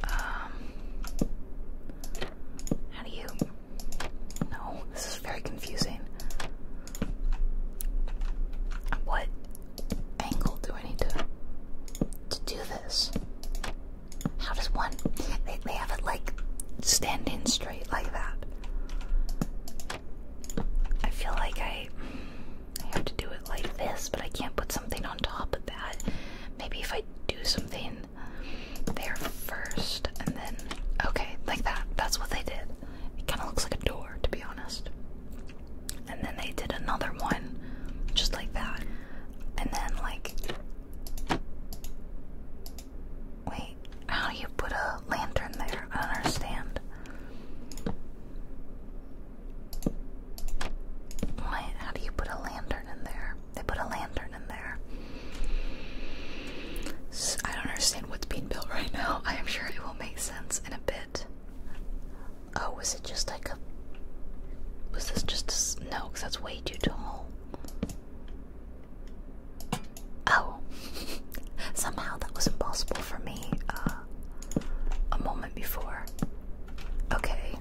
Um how do you? No, this is very confusing. What angle do I need to to do this? How does one? They they have it like standing straight like that. I feel like I I have to do it like this, but I can't put something on top of that. Maybe if I do something then there first, and then okay, like that. That's what they did. It kind of looks like a door, to be honest. And then they did another one, just like that. And then like, wait, how do you put a lantern there? I don't understand. Why? How do you put a lantern in there? They put a lantern in there. I don't understand what's being built right now. I am sure it will make sense in a bit. Oh, was it just like a. Was this just a. No, because that's way too tall. Oh. Somehow that was impossible for me uh, a moment before. Okay,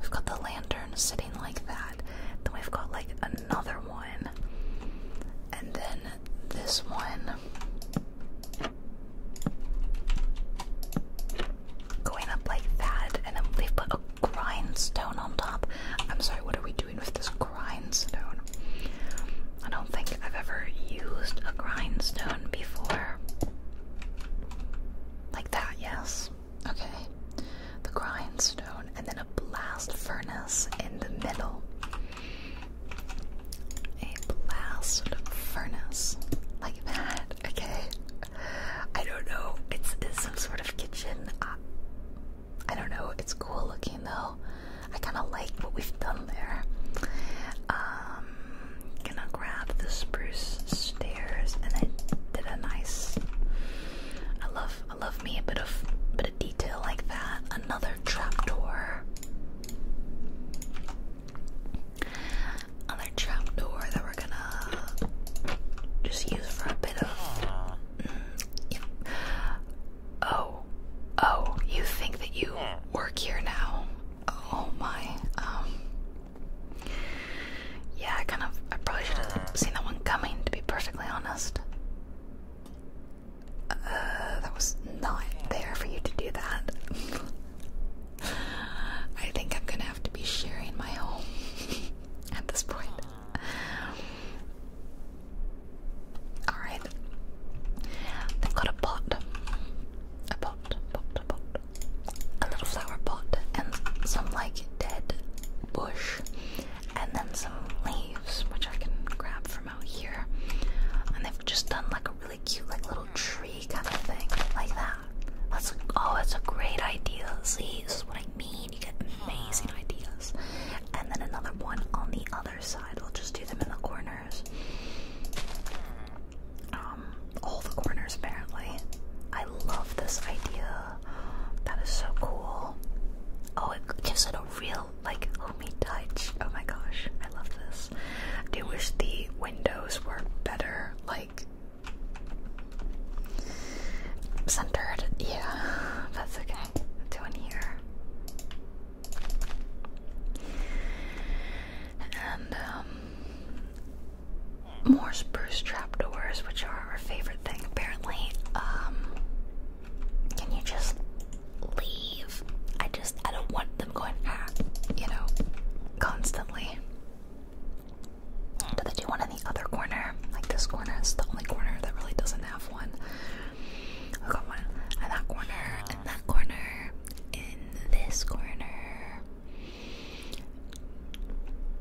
we've got the lantern sitting like that. Then we've got like another one. And then this one going up like that, and then they put a grindstone on top. I'm sorry, what are we doing with this grindstone? I don't think I've ever used a grindstone before. Like that, yes. Okay. The grindstone and then a blast furnace in the middle. A blast furnace. Like that, okay? I don't know. It's, some sort of kitchen. Uh, I don't know. It's cool looking though. I kind of like what we've done there. Um, gonna grab the spruce stairs and then did a nice. I love I love me a bit of bit of detail like that. Another trapdoor. Another trapdoor that we're gonna just use for a bit of. Mm, oh, oh! You think that you work here now? Oh my. Um, yeah, I kind of. I probably should have seen that one coming. To be perfectly honest. Uh, that was not there for you to do that. I think I'm gonna have to be sharing my home at this point. Alright. They've got a pot. A pot, pot, pot. A little flower pot and some like dead bush and then some leaves, which I can grab from out here. And they've just done like a really cute, like little mm-hmm. tree kind of thing, like that. That's oh, that's a great idea. See, this is what I mean. You get amazing mm-hmm. ideas. And then another one on the other side. We'll just do them in the corners. Mm-hmm. Um, all the corners apparently. I love this idea. That is so cool. Oh, it gives it a real like homey touch. Oh my gosh, I love this. I do wish the windows were better, like centered. Yeah, that's okay. Do one here. And um, more spruce trapdoors, which are our favorite thing apparently. Um, can you just leave? I just I don't want them going ah, you know, constantly. Do they do one in the other corner? Like this corner is the only corner that really doesn't have one. We got one in that corner, in that corner, in this corner.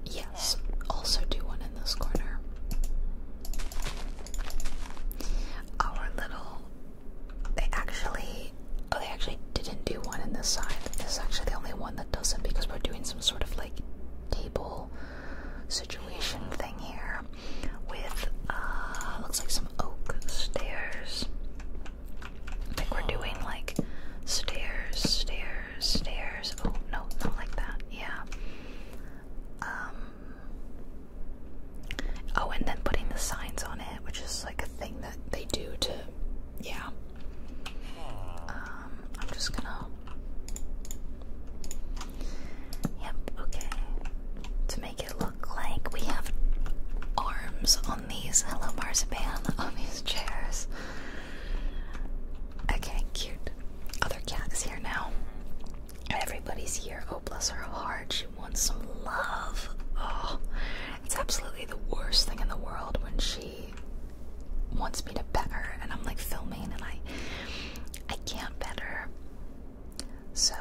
Yes, also do one this corner. Our little they actually oh they actually didn't do one in this side. This is actually the only one that doesn't because we're doing some sort of like table situation thing here with uh looks like some oak stairs. I think we're doing like stairs, stairs, stairs. Oh no, not like that. Yeah. Um Oh, and then putting the signs on it, which is like a thing that they do to, yeah. Um, I'm just gonna. Yep, okay. To make it look like we have arms on these hello marzipan on these chairs. Okay, cute. Other cat is here now. Everybody's here. Oh, bless her heart. She wants some love. Oh, it's absolutely the worst thing in the world when she wants me to pet her, and I'm like filming, and I, I can't pet her. So,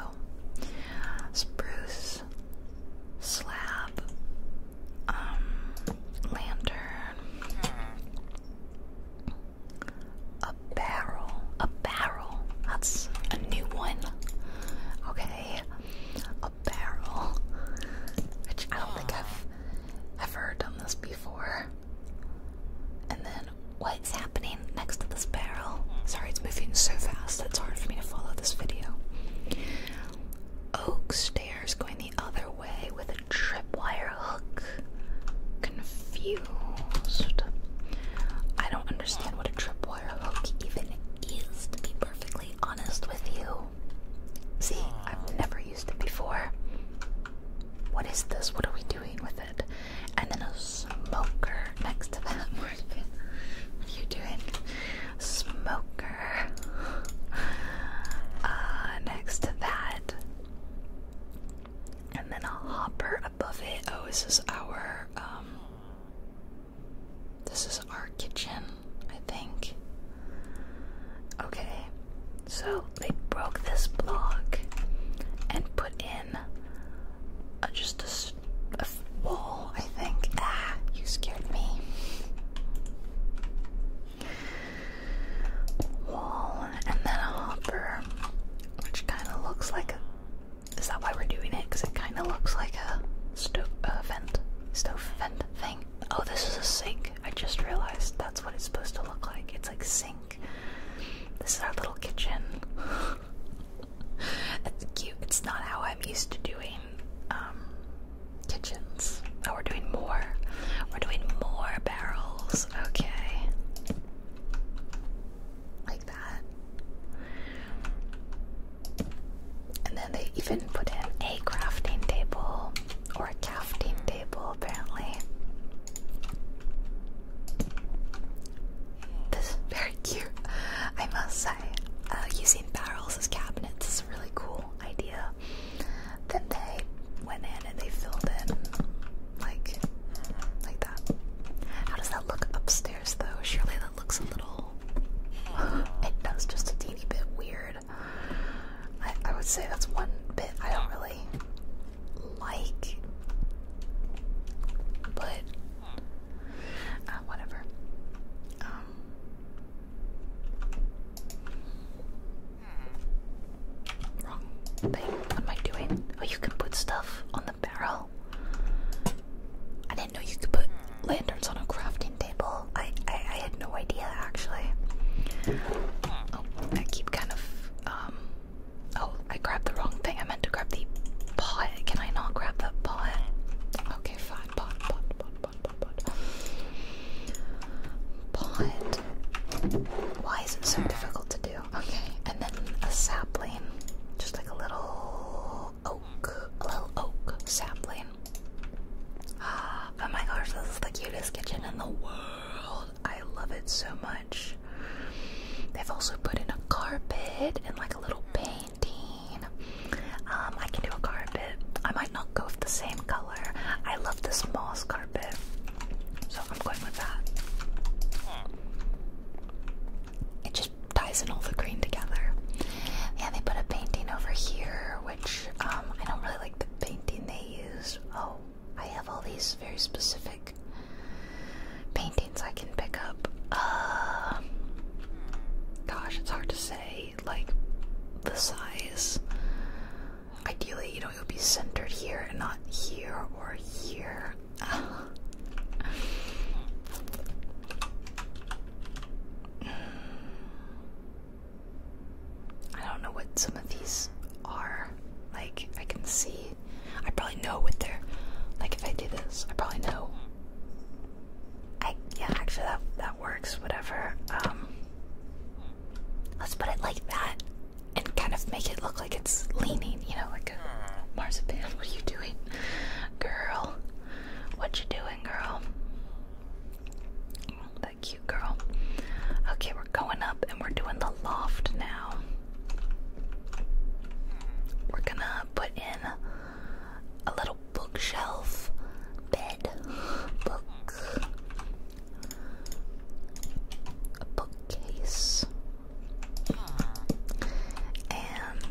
spruce, slab, um, lantern. A barrel. A barrel. That's a new one. Okay. A barrel. Which I don't think I've ever done this before. And then what's happening next to this barrel? Sorry, it's moving so fast it's hard for me to follow this video. Oak stairs going the other way with a tripwire hook confused. I don't understand what a tripwire hook even is, to be perfectly honest with you. See, I've never used it before. What is this? What are we doing with it? And then a smoker next to that. you doing? Smoker. Uh, next to that and then a hopper above it. Oh, this is our um, this is our kitchen, I think. Okay. So they broke this block and put in just a, a wall, I think. Ah, you scared me. Wall and then a hopper which kind of looks like a. Is that why we're doing it? Because it kind of looks like a stove vent, stove vent thing. Oh, this is a sink. I just realized that's what it's supposed to look like. It's like sink. This is our little kitchen. it's cute. It's not how I'm used to doing um, kitchens. Oh, we're doing more. We're doing more barrels. Okay like that. And then they even put in a crafting table or a crafting table, apparently. This is very cute, I must say. Uh, using barrels as cabinets is a really cool idea. Then they went in and they filled in like like that. How does that look upstairs though? Shirley? that looks a little it does just a teeny bit weird. I, would say that's one bit I don't really like. But uh, whatever. Um, Wrong thing. What am I doing? Oh, you can put stuff on the barrel. I didn't know you could put lanterns on a crafting table. I I, had no idea actually. Oh, I keep kind of um. Oh, I grabbed the wrong thing. I meant to grab the pot. Can I not grab the pot? Okay, fine. Pot, pot, pot, pot, pot, pot. Pot. Why is it so difficult to do? Okay, and then a sapling. Just like a little oak. A little oak sapling. Ah, oh my gosh, this is the cutest kitchen in the world. I love it so much. They've also put in a carpet and like a little painting. Um, I can do a carpet. I might not go with the same color. I love this moss carpet. So I'm going with that. Hmm. It just ties in all the green together. And they put a painting over here, which um, I don't really like the painting they use. Oh, I have all these very specific paintings I can pick up. Uh, gosh, it's hard to say, like, the size. Ideally, you know, it would be centered here and not here or here. I don't know what some of these are. Like, I can see. I probably know what they're. Like, if I do this, I probably know. I yeah, actually that that works. Whatever. Um, let's put it like that and kind of make it look like it's leaning, you know, like a marzipan. What are you doing, girl? What you doing, girl? That cute girl. Okay, we're going up and we're doing the loft now. We're gonna put in a little bookshelf bed. Book. A bookcase. And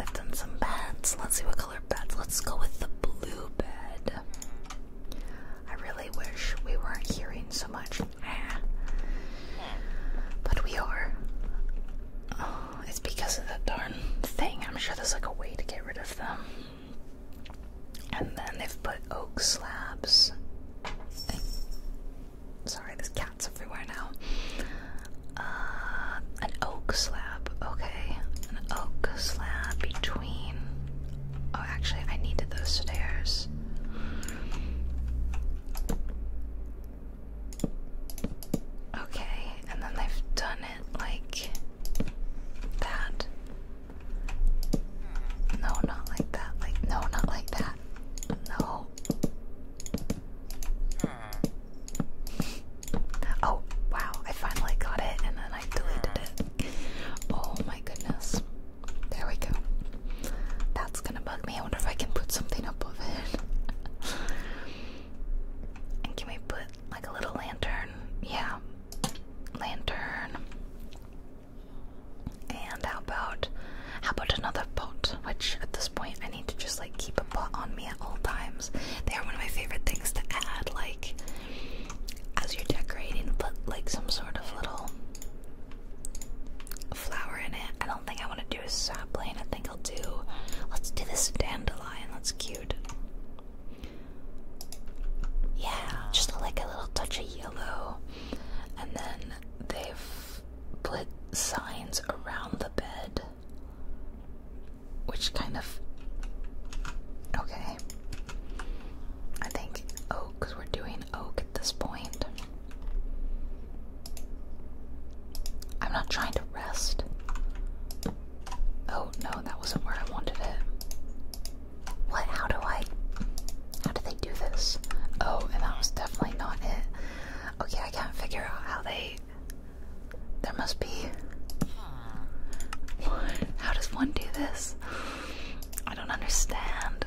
I've done some beds. Let's see what color beds. Let's go with the blue bed. I really wish we weren't hearing so much. Ah. But we are. Oh, it's because of that darn thing. I'm sure there's like a way to get rid of them. And then they've put oak slabs. Sorry, there's cats everywhere now. Uh, an oak slab. Okay, an oak slab between. Oh, actually, I needed those stairs. Okay, and then they've done it like that. No, not like that. Like, no, not like that. No. Oh, wow. I finally got it and then I deleted it. Oh my goodness. There we go. That's gonna bug me. I wonder if I can put something above it. and can we put like a little lantern? Yeah. Lantern. And how about how about another pot? Which at this point I need to just like keep a pot on me at all times. They are one of my favorite things to add, like as you're decorating, put like some sort of little flower in it. I don't think I want to do a sapling. I think I'll do let's do this dandelion. That's cute. Yeah, just like a little touch of yellow. And then they've put signs around the bed, which kind of. Okay. I think oak, because we're doing oak at this point. I'm not trying to rest. Oh no, that wasn't where I wanted it. What? How do I. How do do this. Oh, and that was definitely not it. Okay, I can't figure out how they. There must be. How does one do this? I don't understand.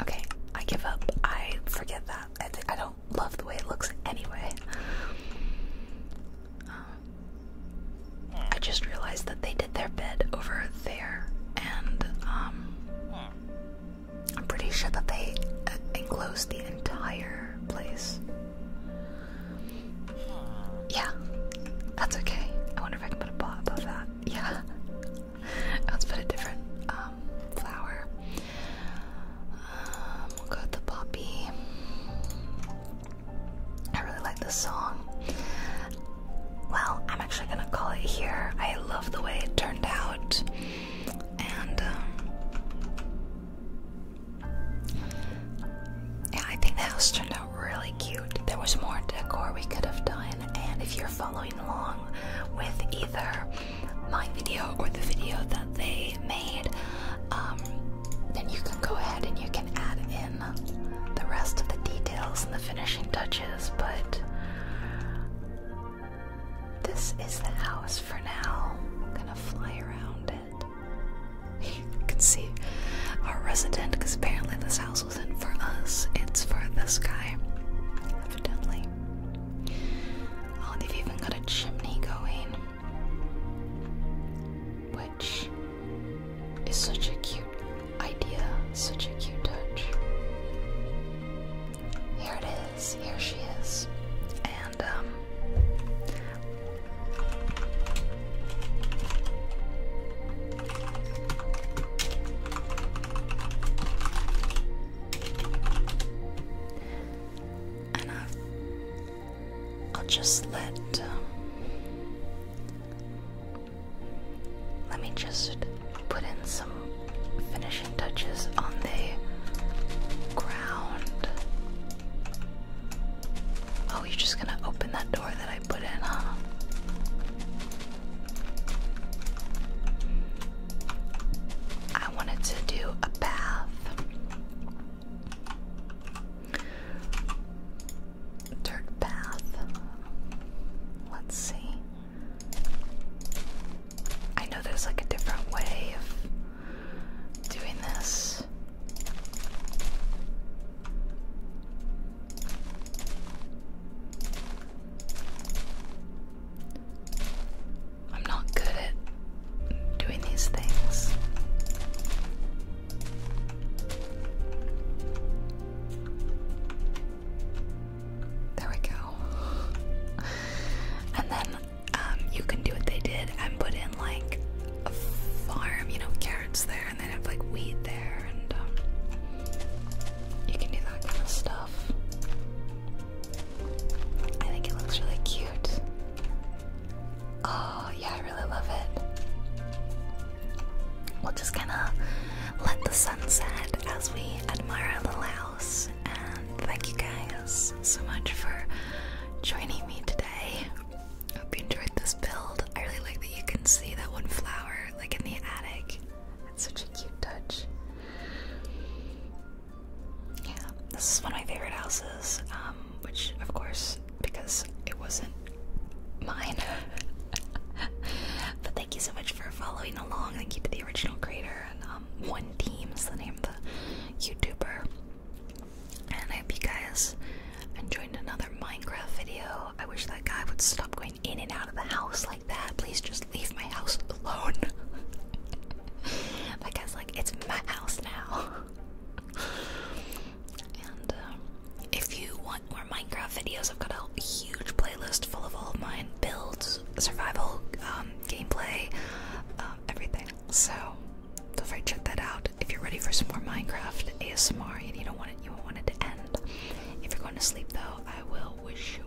Okay, I give up. I forget that. I, don't love the way it looks anyway. I just realized that they did their bed over there, and um, I'm pretty sure that they uh, enclosed the entire place. Yeah, that's okay. I wonder if I can put a pot above that. Yeah, let's put a different um, flower. Um, we'll go with the poppy. I really like this song well, I'm actually gonna call it here. I love the way it turned out, and um, I think the house turned out really cute. There was more decor we could have done, and if you're following along with either my video or the video that they made, um, then you can go ahead and you can add in the rest of the details and the finishing touches but this is the house for now. i gonna fly around it. you can see our resident, because apparently this house wasn't for us, it's for the sky, evidently. Oh, they've even got a chimney going. Which is such a cute idea. Such a cute touch. Here it is. Here she is. And, um. i will just let um, let me just put in some finishing touches on the ground. Oh, you're just gonna open that door that I put in, huh? I wanted to do a bath. Dirt bath. Let's see. I know there's like a different way of doing this. I'm not good at doing these things. There we go. And then um, you can do what they did and put in like a farm, you know, carrots there, and then have like wheat there, and um, you can do that kind of stuff. I think it looks really cute. Oh, yeah, I really love it. We'll just kind of let the sun set as we admire our little house. And thank you guys so much for joining me today. I hope you enjoyed this build. I really like that you can see that one flower like in the attic. It's such a cute touch. Yeah, this is one of my favorite houses, um, which of course, because it wasn't mine, but they thank you so much for following along. Thank you to the original creator and um, One Team is the name of the YouTuber. And I hope you guys enjoyed another Minecraft video. I wish that guy would stop going in and out of the house like that. Please just leave my house alone. I guess like, it's my house now. and um, if you want Minecraft videos. I've got a huge playlist full of all of mine builds, survival, um, gameplay, um, everything. So feel free to check that out. If you're ready for some more Minecraft ASMR and you don't want it, you won't want it to end. If you're going to sleep though, I will wish you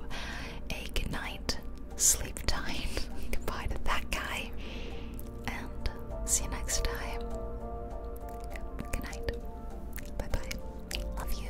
a good night, sleep time. Goodbye to that guy, and see you next time. Good night. Bye bye. Love you.